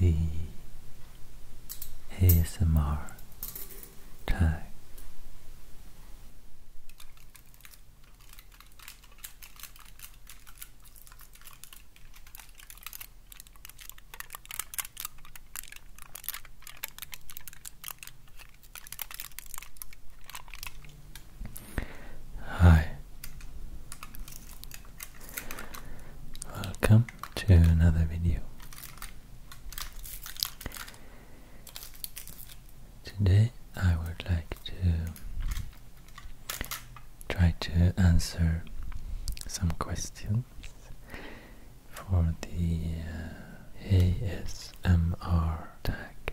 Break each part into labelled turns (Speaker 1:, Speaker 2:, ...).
Speaker 1: The ASMR tag Hi, welcome to another video. Today I would like to try to answer some questions for the uh, ASMR tag,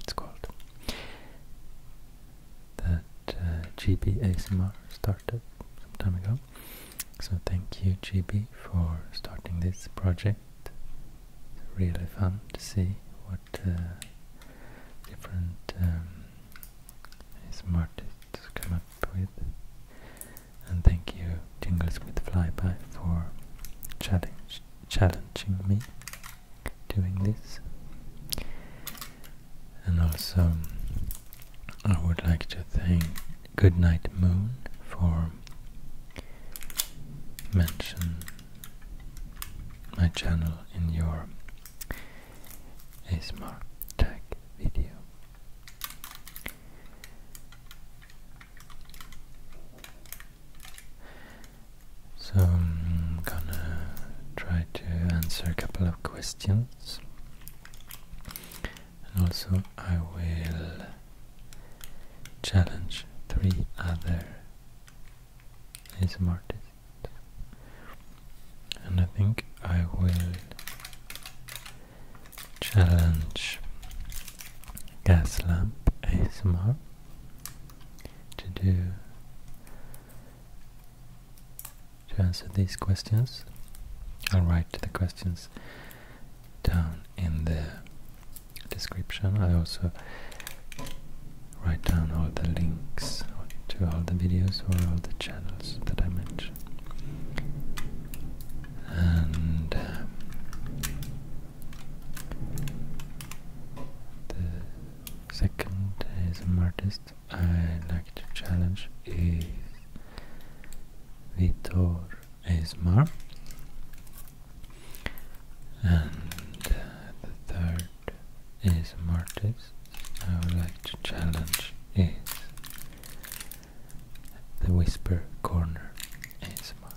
Speaker 1: it's called, that uh, GB ASMR started some time ago. So thank you GB for starting this project. It's really fun to see what uh, different um, come up with. And thank you, Jingles with Flyby, for challenging me doing this. And also, I would like to thank Goodnight Moon for mentioning my channel in your a smart tag video. So I'm gonna try to answer a couple of questions, and also I will challenge three other ASMR and I think I will challenge Gaslamp ASMR to do to answer these questions. I'll write the questions down in the description. I also write down all the links to all the videos or all the channels that I mentioned. And um, the second ASM artist I like to challenge is Vitor ASMR. And uh, the third ASM artist I would like to challenge is the Whisper Corner Is ASMR.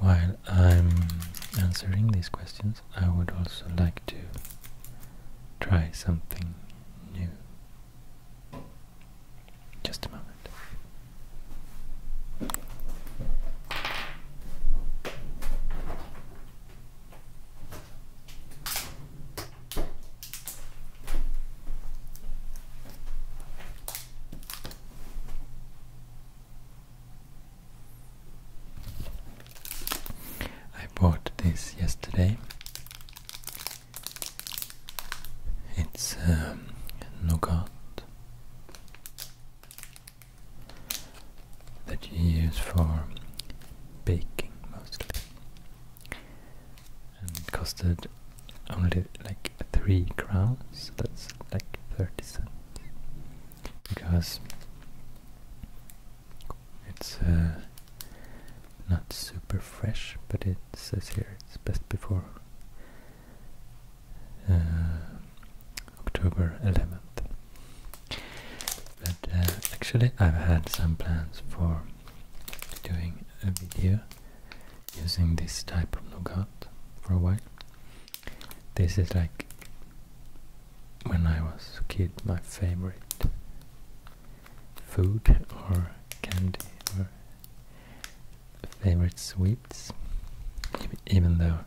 Speaker 1: While I'm answering these questions, I would also like to try something new just a moment. I bought this yesterday it's um, nougat that you use for baking mostly, and it costed only like three crowns. That's like thirty cents because it's. Uh, not super fresh, but it says here it's best before uh, October 11th. But uh, actually, I've had some plans for doing a video using this type of nougat for a while. This is like when I was a kid, my favorite food or candy or favorite sweets, even though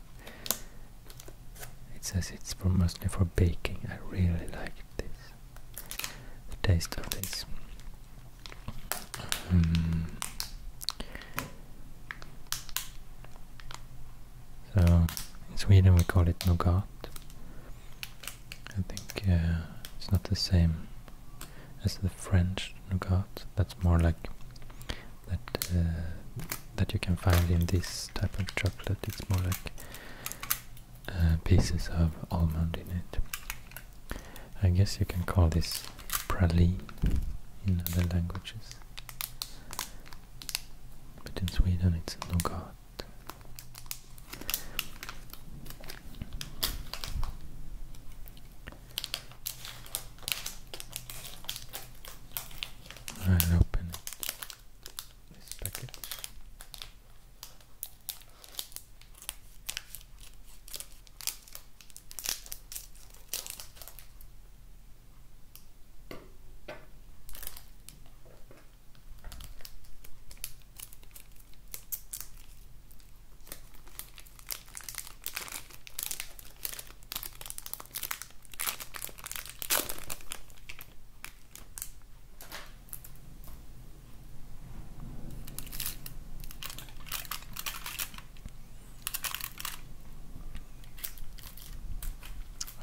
Speaker 1: it says it's mostly for baking. I really like this, the taste of this. Mm. So in Sweden we call it nougat, I think it's not the same as the French nougat. That's more like that uh, that you can find in this type of chocolate. It's more like uh, pieces of almond in it. I guess you can call this praline in other languages, but in Sweden it's nougat. I'll open it.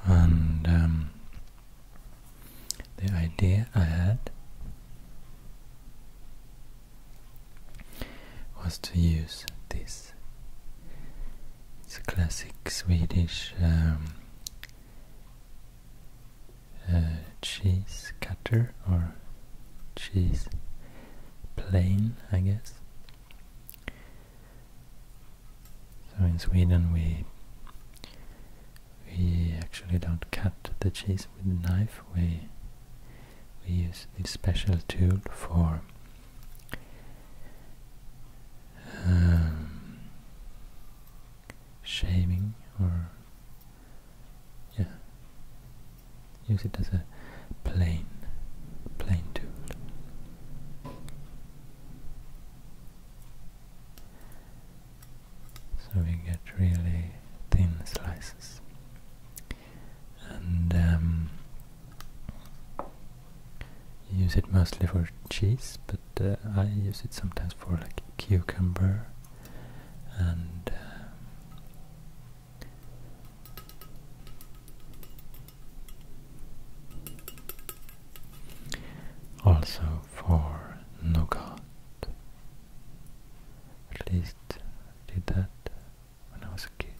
Speaker 1: And um, the idea I had was to use this. It's a classic Swedish um, uh, cheese cutter or cheese plane, I guess. So in Sweden we we actually don't cut the cheese with a knife, we, we use this special tool for um, shaving or yeah, use it as a plane, plane tool so we get really thin slices and um, use it mostly for cheese but uh, I use it sometimes for like cucumber and uh, also for nougat at least did that when I was a kid.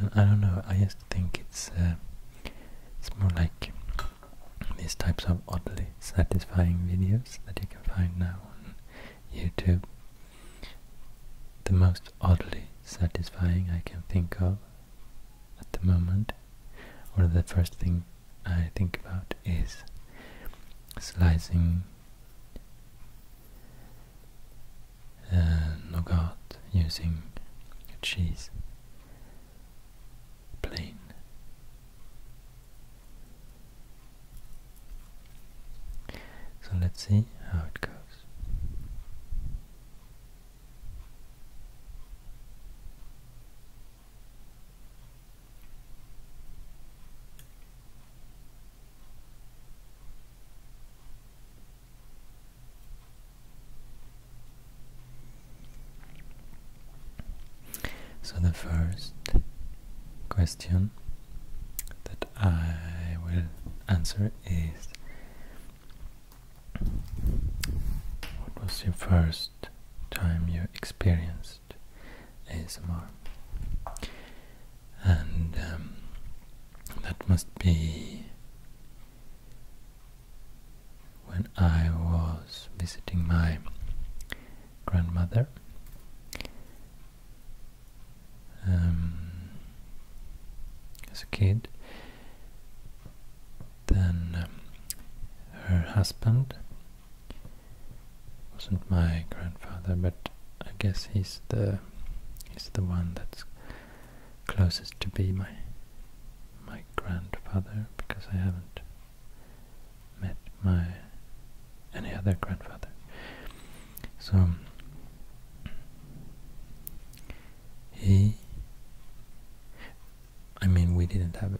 Speaker 1: And I don't know, I just think it's uh, it's more like these types of oddly satisfying videos that you can find now on YouTube. The most oddly satisfying I can think of at the moment, or the first thing I think about is slicing uh, nougat using cheese plain. So let's see how it goes. So the first question that I will answer is what was your first time you experienced ASMR? And um, that must be when I was visiting my grandmother. Um, as a kid, then um, her husband wasn't my grandfather, but I guess he's the he's the one that's closest to be my my grandfather because I haven't met my any other grandfather. So he I mean we didn't have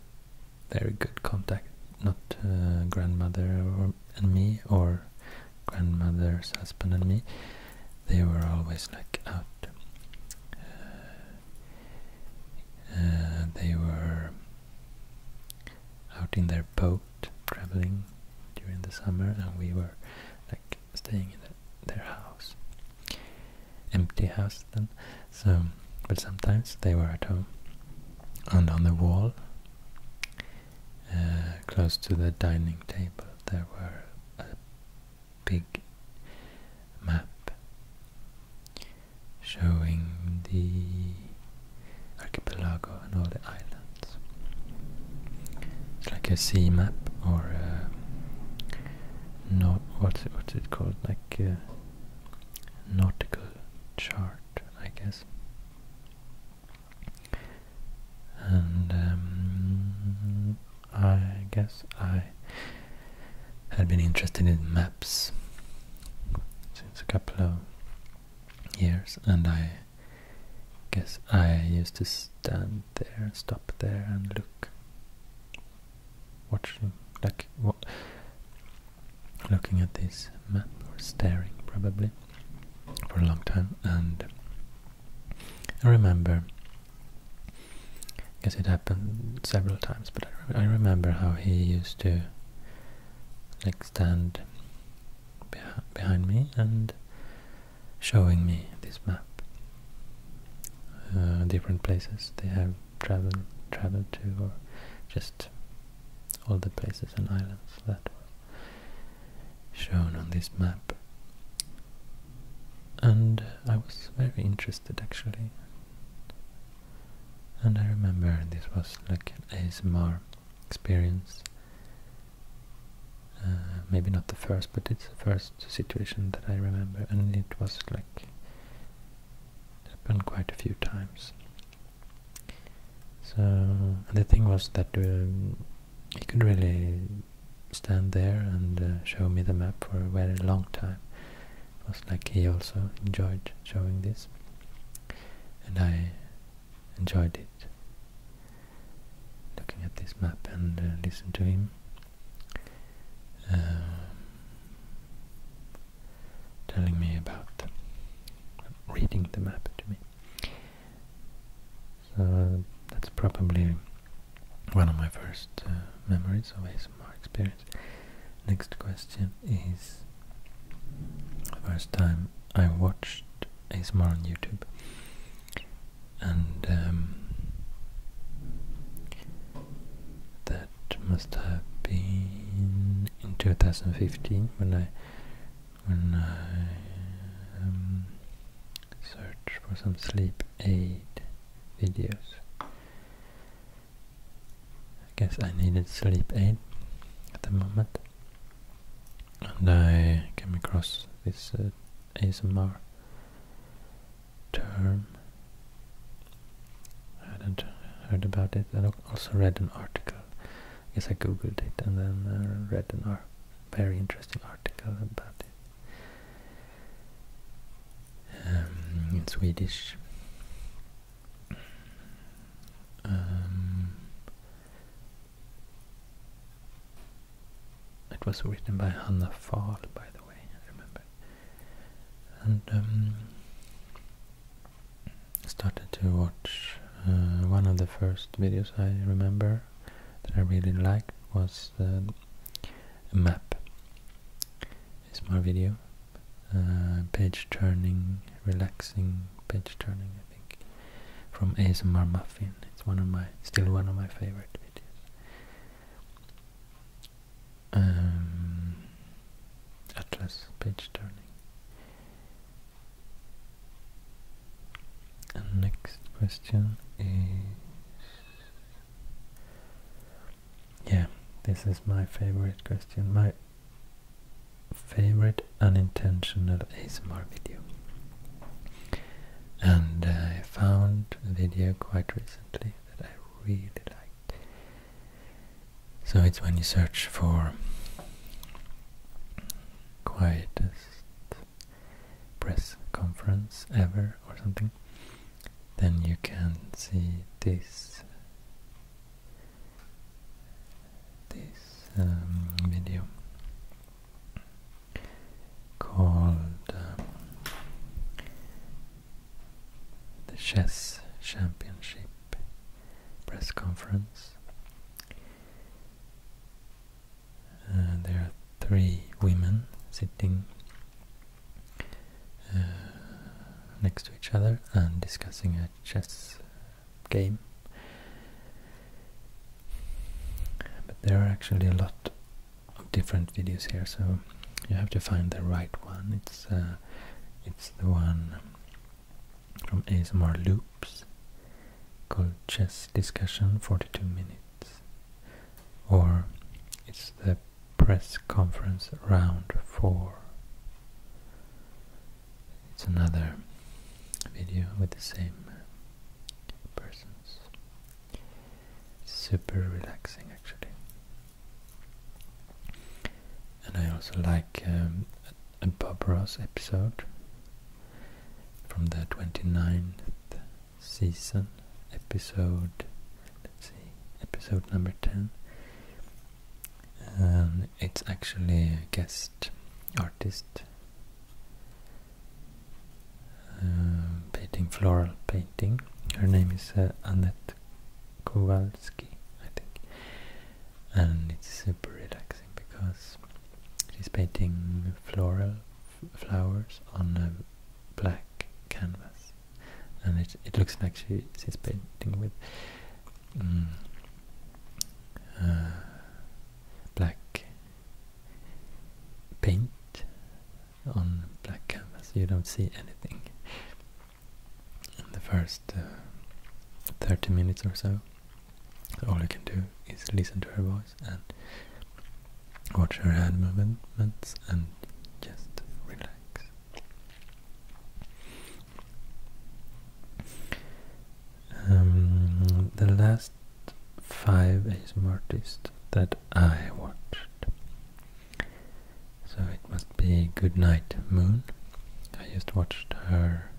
Speaker 1: very good contact not uh, grandmother and me or grandmother's husband and me they were always like out uh, uh, they were out in their boat traveling during the summer and we were like staying in their house. Empty house then. So, but sometimes they were at home. And on the wall, uh, close to the dining table, there were a big map showing the archipelago and all the islands. It's like a sea map or a no what's it, what's it called like uh, nautical chart I guess and um, I guess I had been interested in maps since a couple of years and I guess I used to stand there stop there and look watching, like what, looking at this map or staring probably for a long time. And I remember, I guess it happened several times, but I remember how he used to like stand behind me and showing me this map uh, different places they have traveled traveled to, or just all the places and islands that were shown on this map. And I was very interested actually. And I remember this was like an ASMR experience. Uh, maybe not the first, but it's the first last situation that I remember, and it was like happened quite a few times. So the thing was that um, he could really stand there and uh, show me the map for a very long time. It was like he also enjoyed showing this, and I enjoyed it looking at this map and uh, listen to him um, telling me about reading the map to me. So that's probably one of my first uh, memories of ASMR experience. Next question is first time I watched ASMR on YouTube and um, that must have been in 2015 when I when I um, searched for some sleep aid videos. I guess I needed sleep aid at the moment, and I came across this uh, ASMR term. I hadn't heard about it. I also read an article. Yes, I googled it and then uh, read an ar very interesting article about it um, in Swedish. Um, it was written by Hanna Fall. by the way, I remember and um, started to watch uh, one of the first videos I remember that I really liked was um, a map. It's my video, uh, page turning, relaxing page turning, I think, from ASMR Muffin. It's one of my still one of my favorite videos. Um, Atlas page turning. And next question is yeah, this is my favorite question, my favorite unintentional ASMR video. And I found the video quite recently that I really like. So it's when you search for quietest press conference ever or something, then you can see this this um, video called um, the Chess Championship press conference. Uh, there are three women sitting uh, next to each other and discussing a chess game. But there are actually a lot different videos here, so you have to find the right one. It's uh, it's the one from ASMR Loops called Chess Discussion 42 Minutes, or it's the Press Conference Round 4. It's another video with the same persons. Super relaxing actually. And I also like um, a Bob Ross episode from the 29th season, episode, let's see, episode number 10. Um, it's actually a guest artist uh, painting floral paintings her name is uh, Annette Kowalski, I think, and it's super relaxing because she's painting floral flowers on a black canvas, and it it looks like she she's painting with mm, uh, black paint on black canvas, you don't see anything in the first uh, 30 minutes or so. All you can do is listen to her voice and watch her hand movements and just relax. Um, the last five ASMR artists that I watched so it must be good night, Moon. I just watched her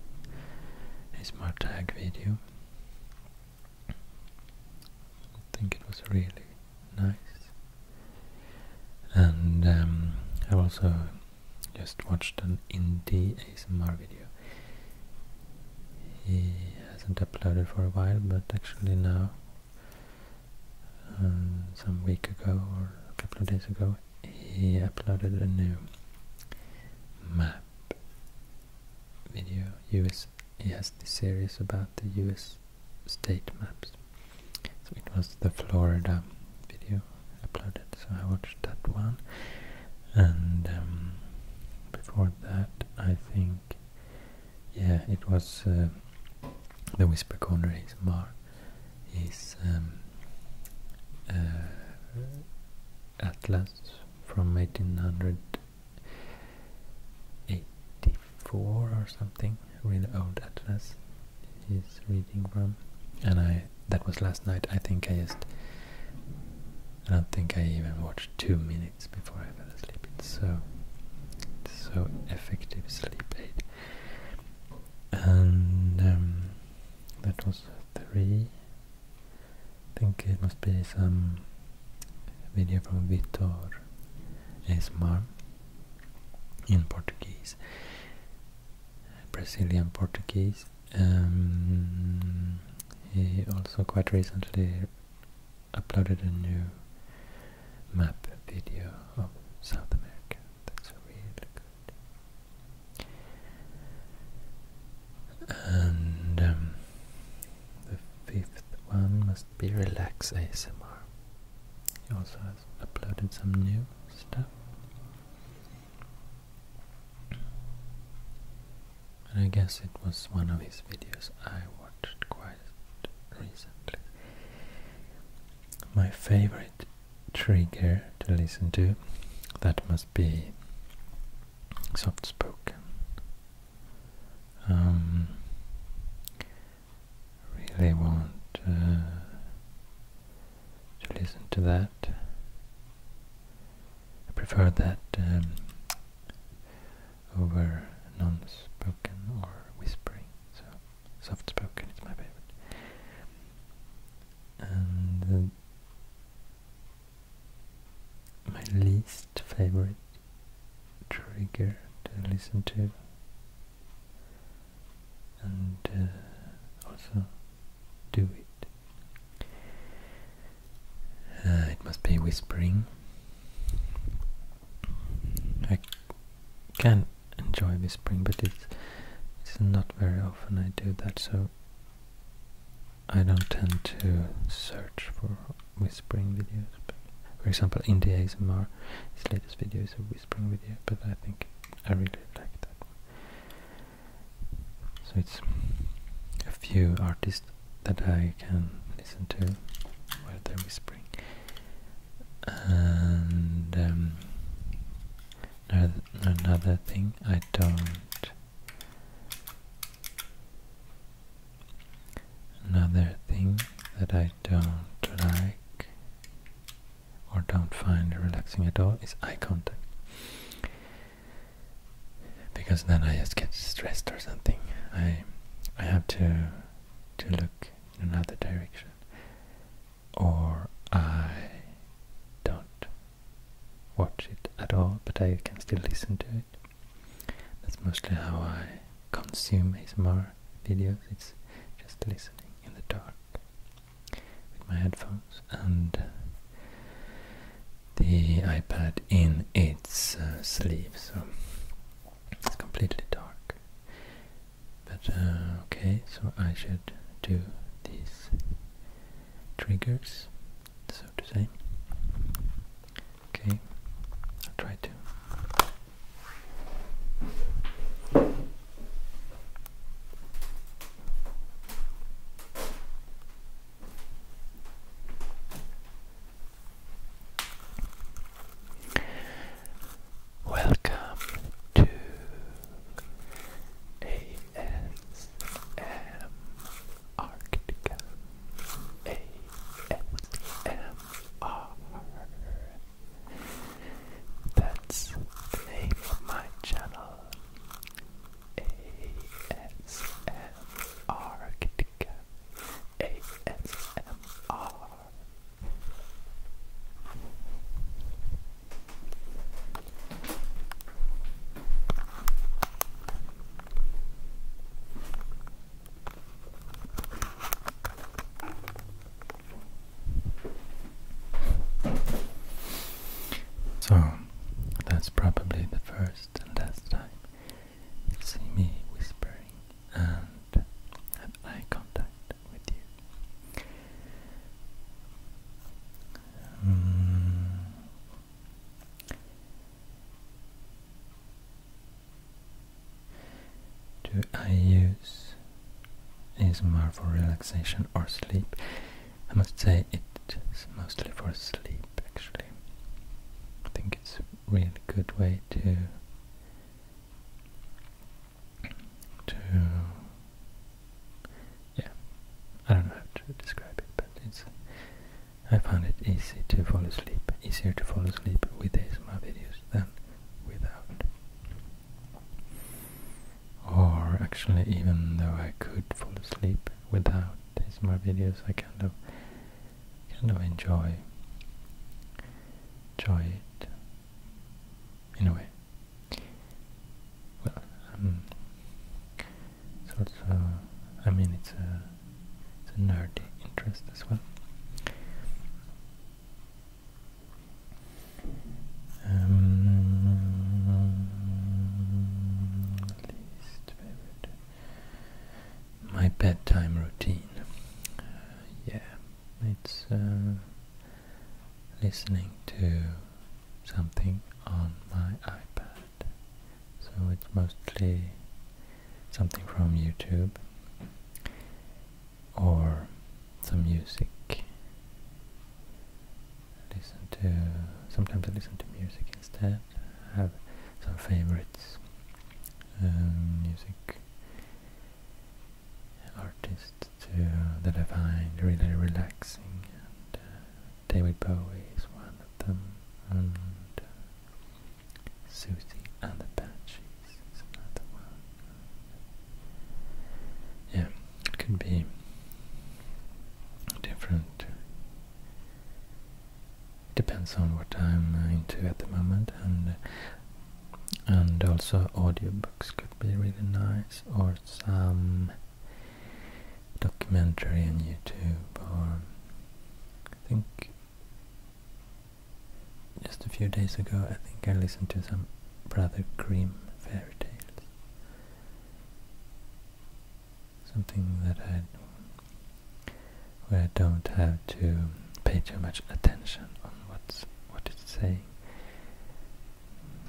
Speaker 1: Smart Tag video. I think it was really nice. And um, I also just watched an indie ASMR video. He hasn't uploaded for a while, but actually now uh, some week ago or a couple of days ago, he uploaded a new map video. US, he has this series about the US state maps. So it was the Florida video uploaded, so I watched that one. And um, before that, I think yeah, it was uh, the Whisper Corner ASMR is um, uh, atlas from 1884 or something, really old atlas he's reading from, and I that was last night. I think I just I don't think I even watched two minutes before I fell asleep. It's so, it's so effective sleep aid. And um, that was three. I think it must be some video from Vitor Esmar in Portuguese, Brazilian Portuguese. Um, he also quite recently uploaded a new map video of South America. That's really good. And um, the fifth one must be Relax ASMR. He also has uploaded some new stuff. And I guess it was one of his videos I watched quite recently my favorite trigger to listen to, that must be soft spoken. Um, really want uh, to listen to that. I prefer that um, over non-spoken or whispering. So soft spoken, it's my favorite. And uh, my least favorite trigger to listen to, and uh, also do it. Uh, it must be whispering. I can enjoy whispering, but it's, it's not very often I do that, so I don't tend to search for whispering videos. But for example, India's Mar, his latest video is a whispering video, but I think I really like that one. So it's a few artists that I can listen to while they're whispering and um, another thing I don't another thing that I don't like or don't find relaxing at all is eye contact because then I just get stressed or something I I have to to look in another direction or I don't watch it at all, but I can still listen to it. That's mostly how I consume ASMR videos. It's just listening in the dark with my headphones and the iPad in its uh, sleeve, so it's completely dark. But uh, okay, so I should do these triggers, so to say. Okay, I'll try to. Welcome to ASM ASMR. That's the name of my channel. ASM ASMR. So that's probably the first and last time you see me whispering and have eye contact Hmm. do I use ASMR for relaxation or sleep? I must say it's mostly for sleep actually. I think it's a really good way to to yeah, I don't know how to describe it, but it's I found it easy to fall asleep, easier to fall asleep with ASMR videos than without. Or actually, even though I could fall asleep without ASMR videos, I kind of kind of enjoy enjoy it in a way. Well, um, it's also, I mean, it's a, it's a nerdy interest as well. Um, My bedtime routine. Uh, yeah, it's uh, listening to something on my iPad. So it's mostly something from YouTube or some music. Listen to sometimes I listen to music instead. I have some favorites um, music artists to, that I find really relaxing. And uh, David Bowie is one of them, and uh, Susie and the Banshees is another one. Yeah, it can be different. Depends on what I'm into at the moment, and and also audio could be really nice or some documentary on YouTube or I think just a few days ago I think I listened to some Brother Grimm fairy tales something that I where I don't have to pay too much attention on what's what it's saying.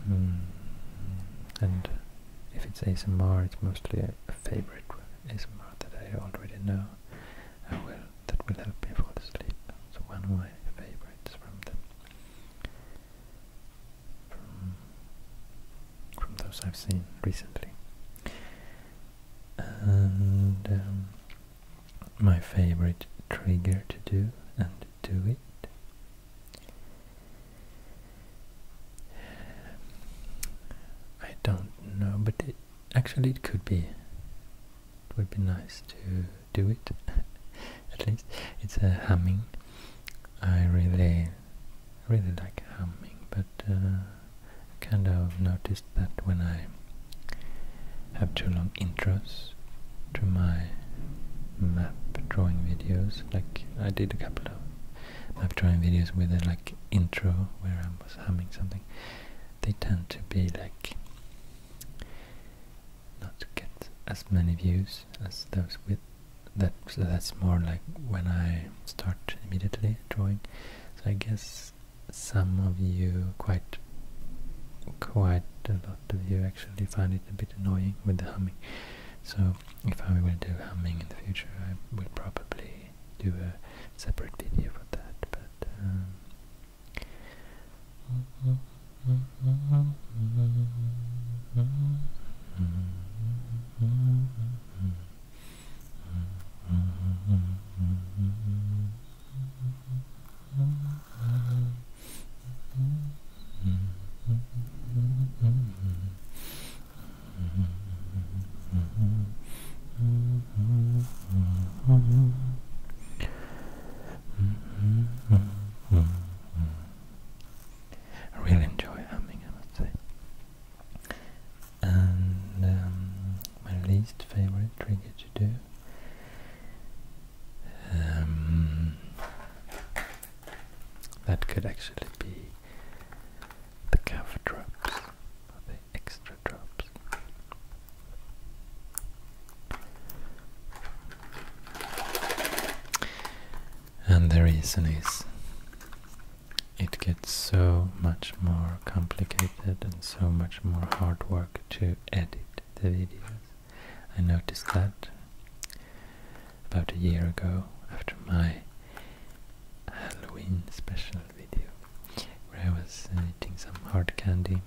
Speaker 1: Mm. And if it's ASMR, it's mostly a, favorite ASMR that I already know. I will, that will help me fall asleep. So one of my favorites from them, from those I've seen recently. And um, my favorite trigger to do and do it. I don't know, but actually it could be. It would be nice to do it, at least. It's a humming. I really, really like humming, but uh, kind of noticed that when I have too long intros to my map drawing videos. Like I did a couple of map drawing videos with a like intro where I was humming something. They tend to be like not get as many views as those with that. So that's more like when I start immediately drawing. So I guess some of you quite quite a lot of you actually find it a bit annoying with the humming. So if I will do humming in the future, I will probably do a separate video for that. But um, I really enjoy humming, I must say. And um, my least favorite trigger to do um, that could actually be the extra drops. And the reason is it gets so much more complicated and so much more hard work to edit the videos. I noticed that about a year ago after my Halloween special video where I was uh, eating some hard candy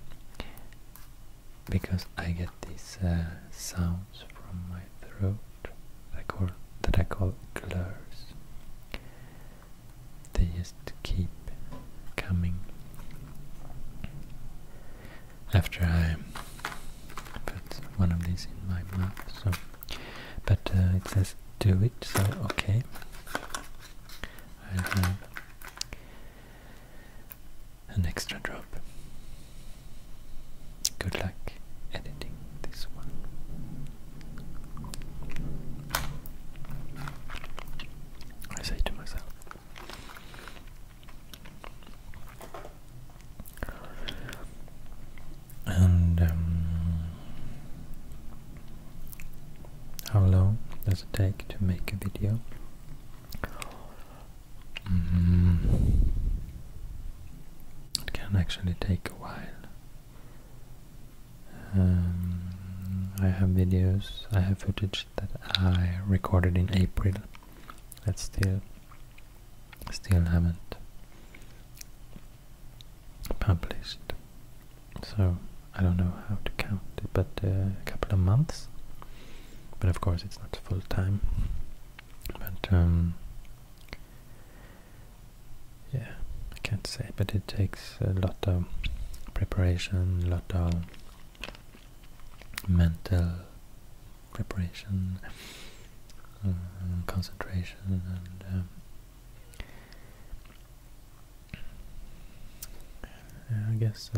Speaker 1: because I get these uh, sounds from my throat that I call, that I call glurs. They just keep coming after I put one of these in my mouth. So, but uh, it says do it, so okay. I have an extra drop. Good luck editing this one. I say to myself. And um, how long does it take to make a video? Mm-hmm. It can actually take a while. Um, I have videos, I have footage that I recorded in April that's still still haven't published. So I don't know how to count it, but uh, a couple of months. But of course, it's not full time. But um, yeah, I can't say. But it takes a lot of preparation, a lot of mental preparation, uh, concentration, and um, I guess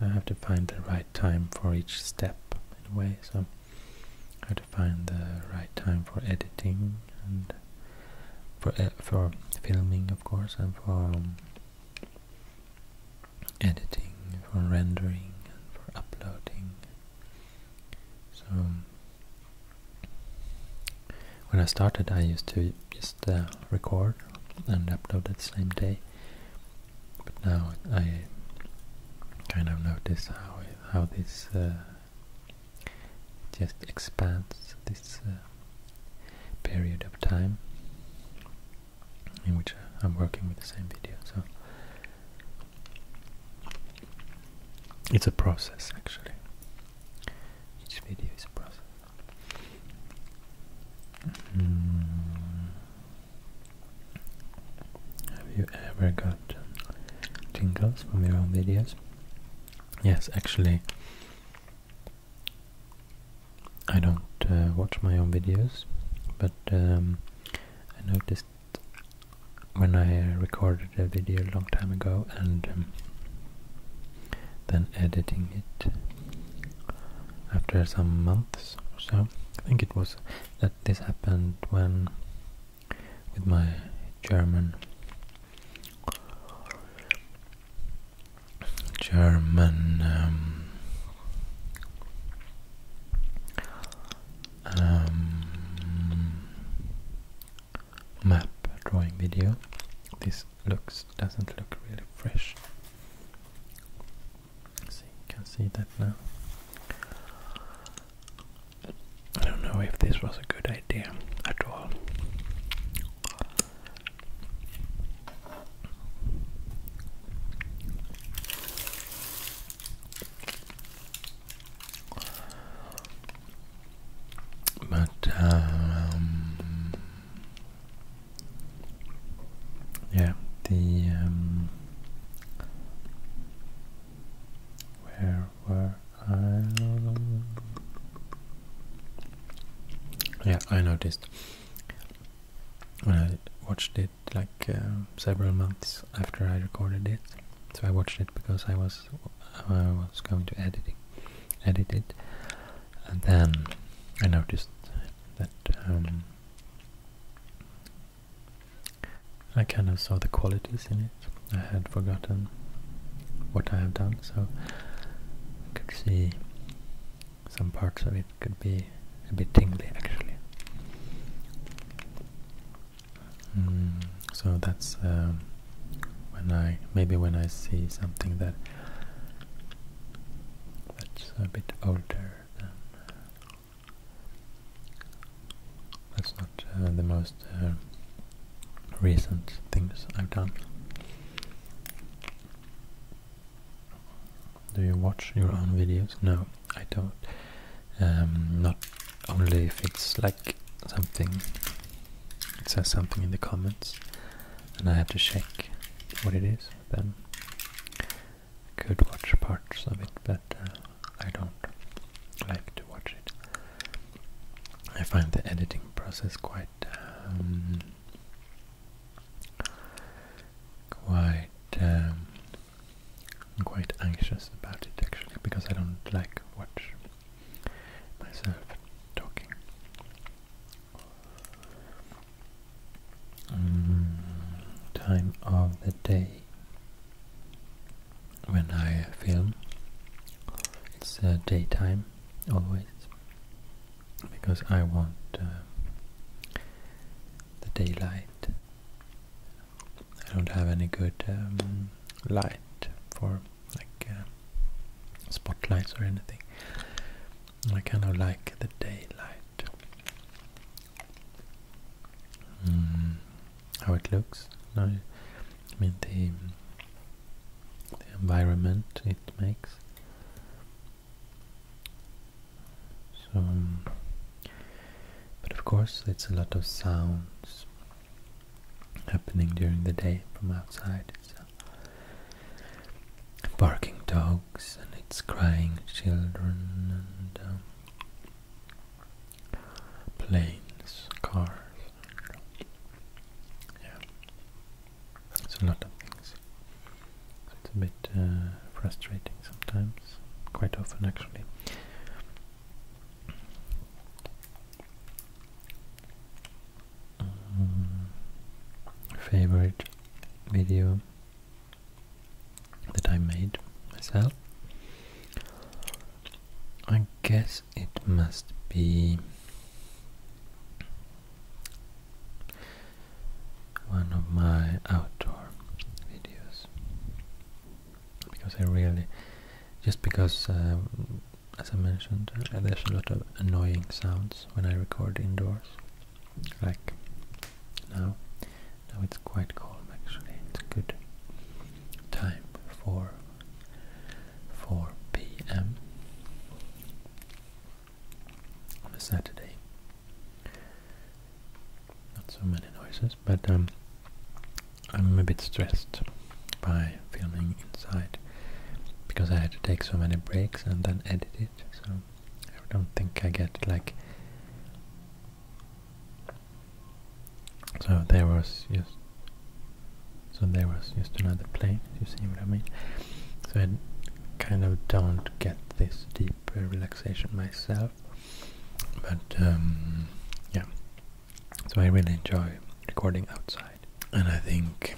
Speaker 1: i have to find the right time for each step in a way. So I have to find the right time for editing and for uh, for filming, of course, and for um, editing, for rendering, and for uploading. So, when I started, I used to just uh, record and upload that same day, but now I kind of notice how how this uh, just expands this uh, period of time in which I'm working with the same video. So it's a process actually. Each video is a process. Mm. Have you ever got tingles from your own videos? Yes, actually, I don't uh, watch my own videos, but um, I noticed when I recorded a video a long time ago and um, then editing it after some months or so. I think it was that this happened when with my German German um, um, map drawing video. This looks doesn't look really fresh. See, you can see that now. I don't know if this was a good idea at all. But um, yeah, the um, where were I? Yeah, I noticed when I watched it like uh, several months after I recorded it. So I watched it because I was I was going to edit it, edit it, and then I noticed that um, I kind of saw the qualities in it. I had forgotten what I have done, so I could see some parts of it could be a bit tingly actually. Hmm, so that's um, when I maybe when I see something that that's a bit older than that's not uh, the most uh, recent things I've done. Do you watch your own videos? No, I don't. Um, not only if it's like something, it says something in the comments, and I have to check what it is, then I could watch parts of it, but uh, I don't like to watch it. I find the editing process quite um, quite um, quite anxious about it actually because I don't like watch myself talking. Mm, time of the day when I film, it's uh, daytime always because I want uh, the daylight. I don't have any good um, light for like uh, spotlights or anything. I kind of like the daylight. Mm, how it looks. No, I mean the, the environment it makes. So, um, but of course, it's a lot of sounds happening during the day from outside. Uh, barking dogs and it's crying children and um, planes, cars. Yeah, it's a lot of things. It's a bit uh, frustrating sometimes, quite often actually. Mm. favorite video that I made myself? I guess it must be one of my outdoor videos because I really just because um, as I mentioned uh, there's a lot of annoying sounds when I record indoors like now now it's quite calm actually it's a good time for 4 p.m. on a Saturday not so many noises, but um, I'm a bit stressed by filming inside because I had to take so many breaks and then edit it, so I don't think I get like... So there was So there was just another plane, you see what I mean? So I kind of don't get this deep relaxation myself but um, yeah, so I really enjoy recording outside, and I think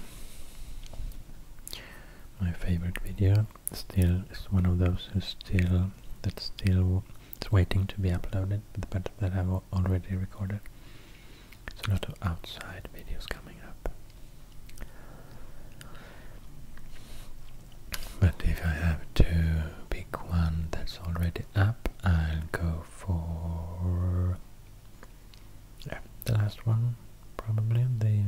Speaker 1: my favorite video still is one of those who still that's still it's waiting to be uploaded, but that I've already recorded. There's a lot of outside videos coming up. But if I have to pick one that's already up, I'll go for the last one, probably the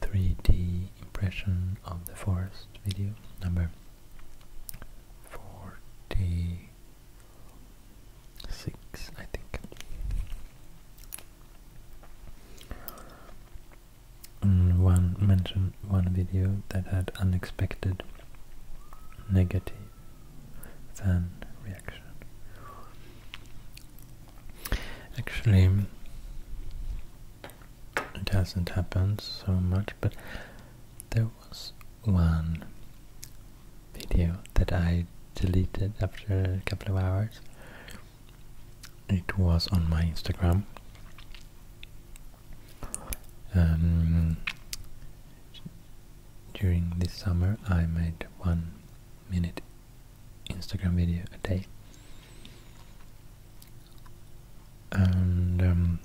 Speaker 1: 3D impression of the forest video number 46, I think. Mm, one mentioned one video that had unexpected negative fan reaction. Actually, it hasn't happened so much, but there was one video that I deleted after a couple of hours it was on my Instagram. Um, during this summer, I made one minute Instagram video a day, and um,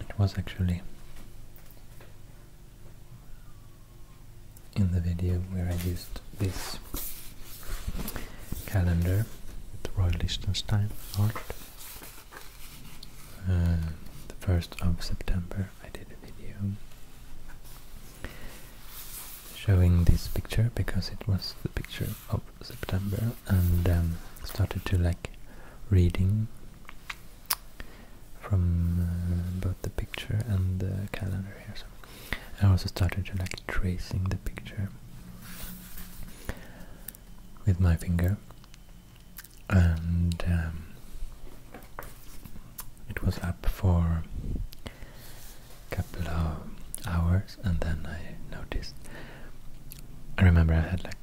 Speaker 1: it was actually in the video where I used this calendar with Roy Lichtenstein art. Uh, the 1st of September I did a video showing this picture because it was the picture of September and um, started to like reading from uh, both the picture and the calendar here. So I also started to like tracing the picture with my finger and um, it was up for a couple of hours and then I noticed I remember I had like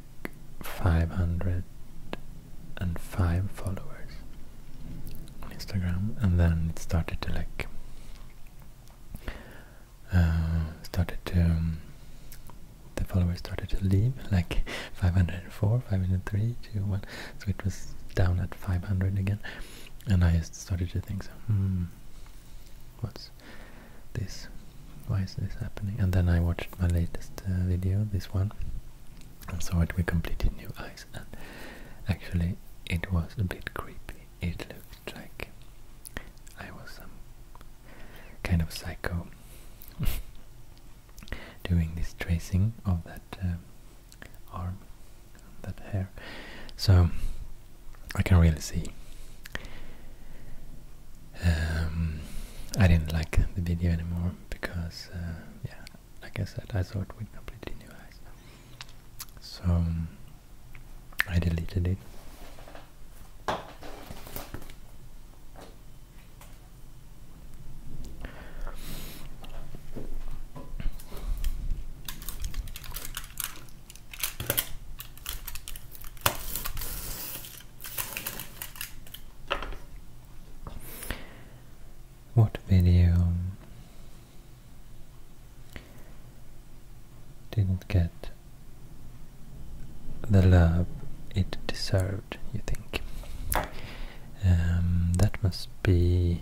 Speaker 1: 505 followers on Instagram and then it started to like uh, started to um, the followers started to leave, like 504, 503, one. So it was down at 500 again, and I started to think, so, hmm, what's this? Why is this happening? And then I watched my latest uh, video, this one, I'm sorry, we completed new eyes. And actually, it was a bit creepy. It looked like I was kind of psycho doing this tracing of that um, arm, that hair. So I can really see. Um, I didn't like the video anymore because, uh, yeah, like I said, I thought it with completely new eyes. So I deleted it. What video didn't get the love it deserved, you think. Um, that must be...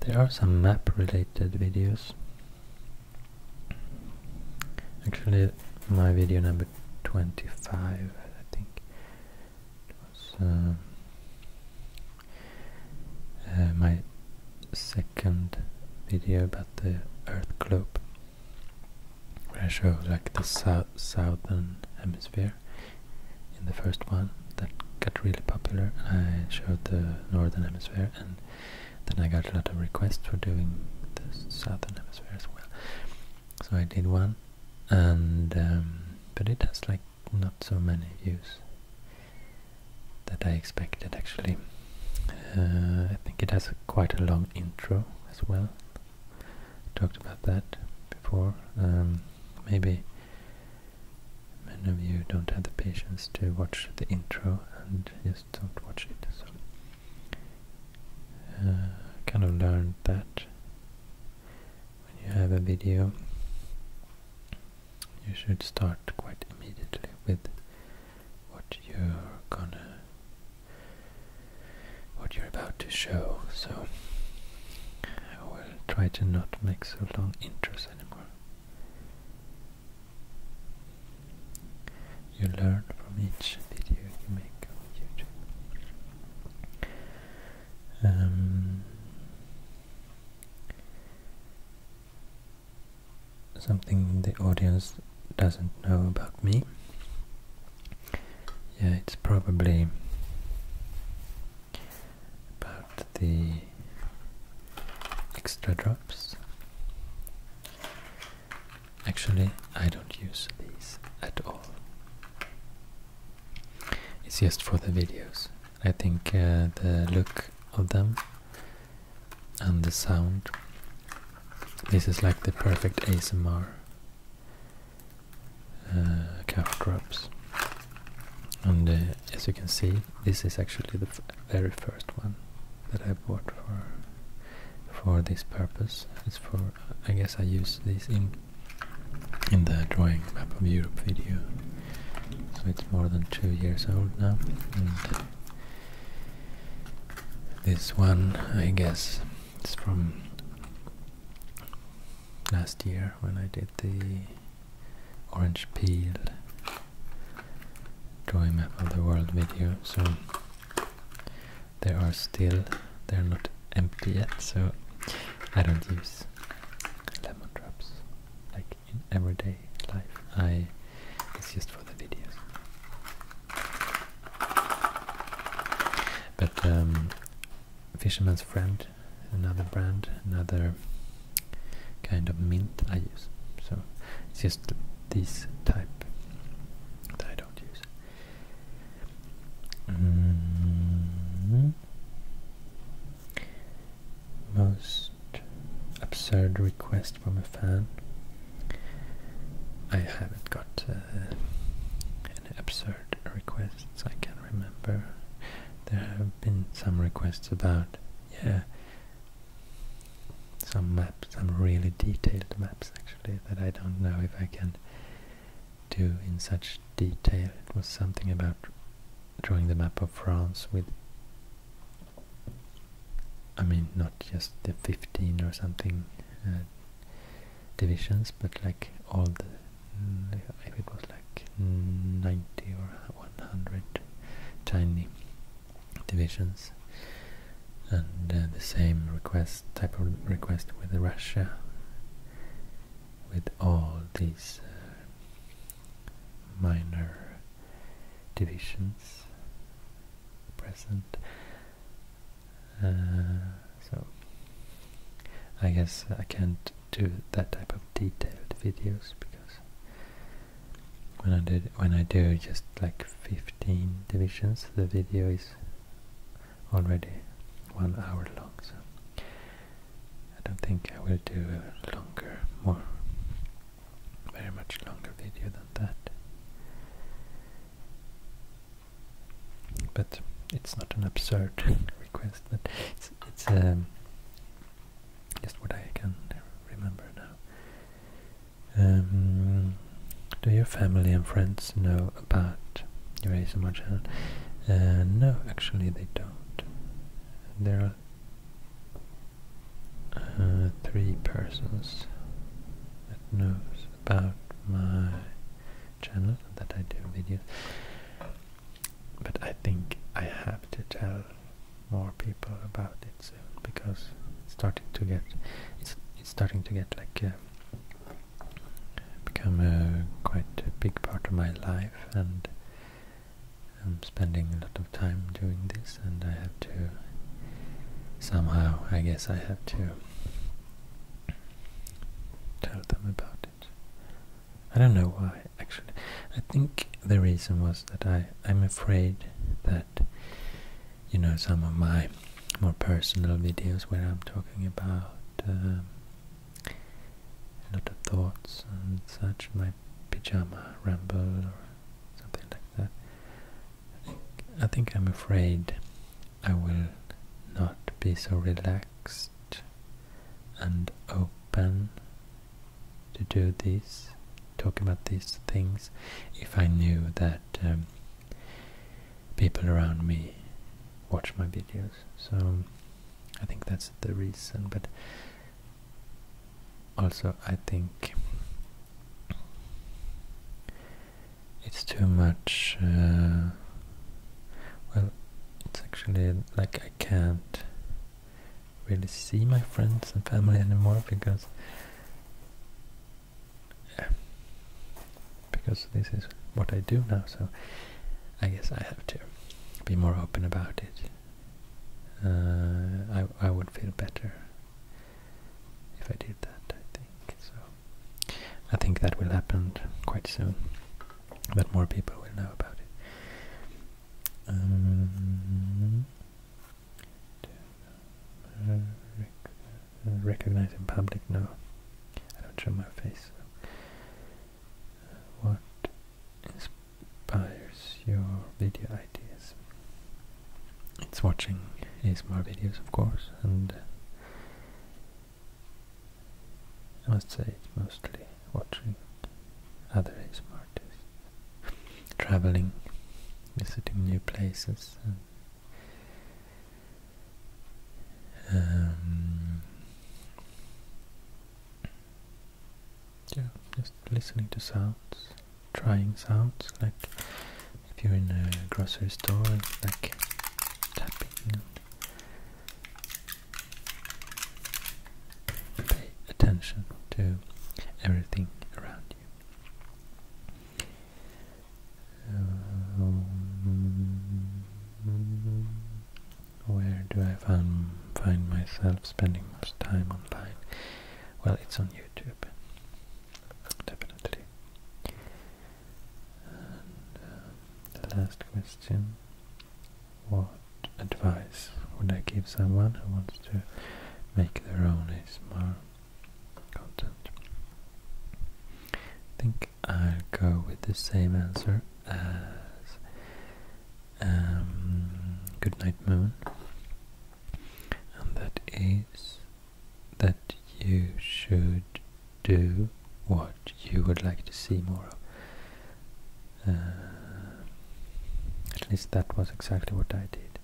Speaker 1: There are some map-related videos. Actually, my video number 25, I think, uh, my second video about the Earth globe, I showed like the sou southern hemisphere. In the first one, that got really popular, I showed the northern hemisphere, and then I got a lot of requests for doing the southern hemisphere as well. So I did one, and um, but it has like not so many views that I expected actually. Uh, I think it has quite a long intro as well. Talked about that before. Um, maybe many of you don't have the patience to watch the intro and just don't watch it. So uh, kind of learned that when you have a video you should start quite immediately with what you're gonna what you're about to show so I will try to not make so long intros anymore you learn from each video you make on YouTube um, something the audience doesn't know about me. Yeah, it's probably about the extra drops. Actually, I don't use these at all. It's just for the videos. I think uh, the look of them and the sound. This is like the perfect ASMR uh, calf drops. And uh, as you can see, this is actually the very first one that I bought for for this purpose. It's for I guess I use this in in the drawing map of Europe video so it's more than two years old now and this one I guess it's from last year when I did the orange peel drawing map of the world video so there are still they're not empty yet so I don't use lemon drops like in everyday life. I it's just for the videos. But um, Fisherman's Friend, another brand, another kind of mint I use. So it's just this type that I don't use. Mm-hmm. Most absurd request from a fan. I haven't got uh, any absurd requests I can remember. There have been some requests about, yeah, some maps, some really detailed maps actually, that I don't know if I can do in such detail. It was something about drawing the map of France with I mean, not just the 15 or something uh, divisions, but like all the, if it was like 90 or 100 tiny divisions. And uh, the same request, type of request with Russia, with all these uh, minor divisions present. Uh, so I guess I can't do that type of detailed videos because when I did when I do just like 15 divisions, the video is already one hour long. So I don't think I will do longer, more very much longer video than that. But it's not an absurd request, but it's it's um, just what I can remember now. Um, do your family and friends know about your ASMR channel? Uh, no, actually they don't. There are uh, three persons that knows about my channel that I do videos but I think I have to tell more people about it soon because it's starting to get it's it's starting to get like uh, become a quite a big part of my life and I'm spending a lot of time doing this and I have to somehow I guess I have to tell them about it. I don't know why actually. I think the reason was that I, am afraid that you know some of my more personal videos where I'm talking about um, a lot of thoughts and such, my pyjama ramble or something like that. I think I'm afraid I will not be so relaxed and open to do this, talk about these things, if I knew that um, people around me watch my videos. So I think that's the reason, but also I think it's too much uh, well it's actually like I can't really see my friends and family anymore because because this is what I do now so I guess I have to be more open about it uh, I I would feel better if I did that. I think so. I think that will happen quite soon. That more people will know about it. Um, recognize in public? No, I don't show my face. Uh, what is inspires your video ideas. It's watching ASMR videos, of course, and uh, I must say it's mostly watching other ASMR artists, traveling, visiting new places, and um, yeah, just listening to sounds trying sounds, like if you're in a grocery store, like tapping. Pay attention to everything around you. Um, where do I find myself spending most time online? Well, it's on YouTube, definitely. Uh, the last question: What advice would I give someone who wants to make their own ASMR content? I think I'll go with the same answer as um, Goodnight Moon and that is that you should do what you would like to see more of. Uh, at least that was exactly what I did.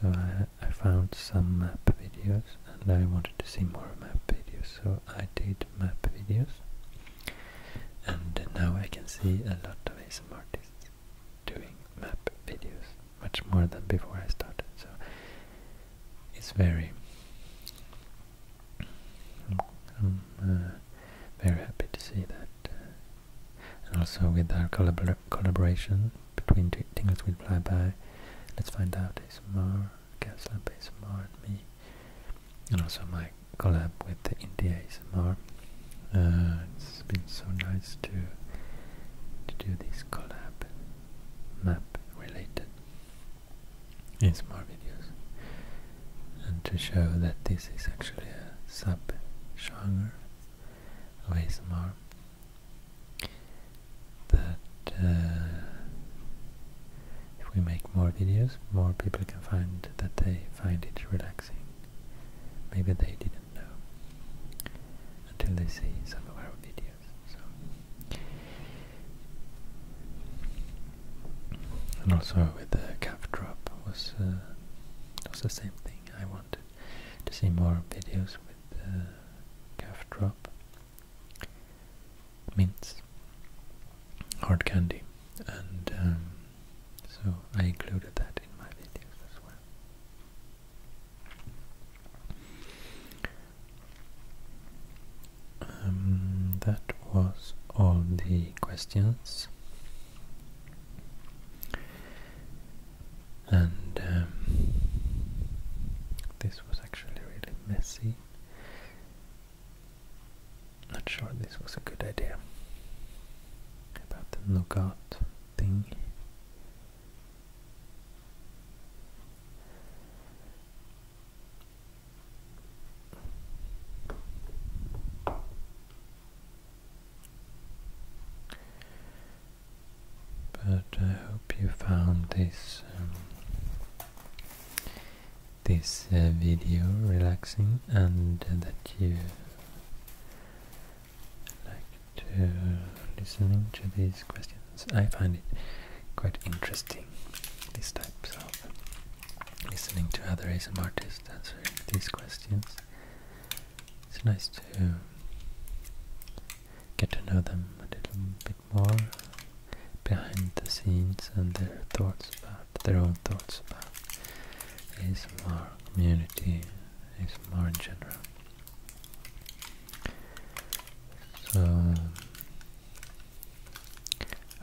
Speaker 1: So I, found some map videos and I wanted to see more map videos. So I did map videos and now I can see a lot of ASM artists doing map videos much more than before I started, so it's very, I'm uh, very happy to see that. Uh, and also with our collaboration between Tingles with by. Let's Find Out ASMR, Castlab ASMR and me, and also my collab with the India ASMR uh, it's been so nice to to do this collab map related in ASMR videos and to show that this is actually a sub genre of ASMR that uh, if we make more videos more people can find that they find it relaxing maybe they didn't know until they see some of our videos. So, and also with the calf drop was uh, was the same thing. I wanted to see more videos with the calf drop mints, hard candy, and um, so I included that in my videos as well. Um, that was all the questions. And um, this was actually really messy. Not sure this was a good idea about the nougat thing. But I hope you found this um, this uh, video relaxing and uh, that you like to listening to these questions. I find it quite interesting, these types of listening to other ASMR artists answering these questions. It's nice to get to know them a little bit more behind the scenes and their thoughts about their own thoughts about ASMR community it's more in general. So,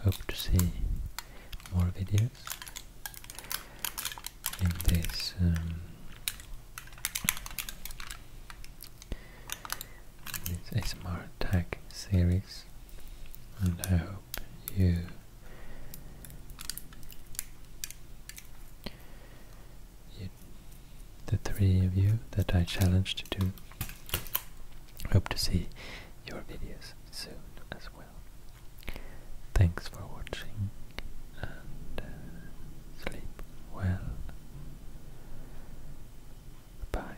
Speaker 1: hope to see more videos in this um, this ASMR tag series, and I hope you you, the three of you that I challenged to Hope to see your videos soon as well. Thanks for watching and uh, sleep well. Bye.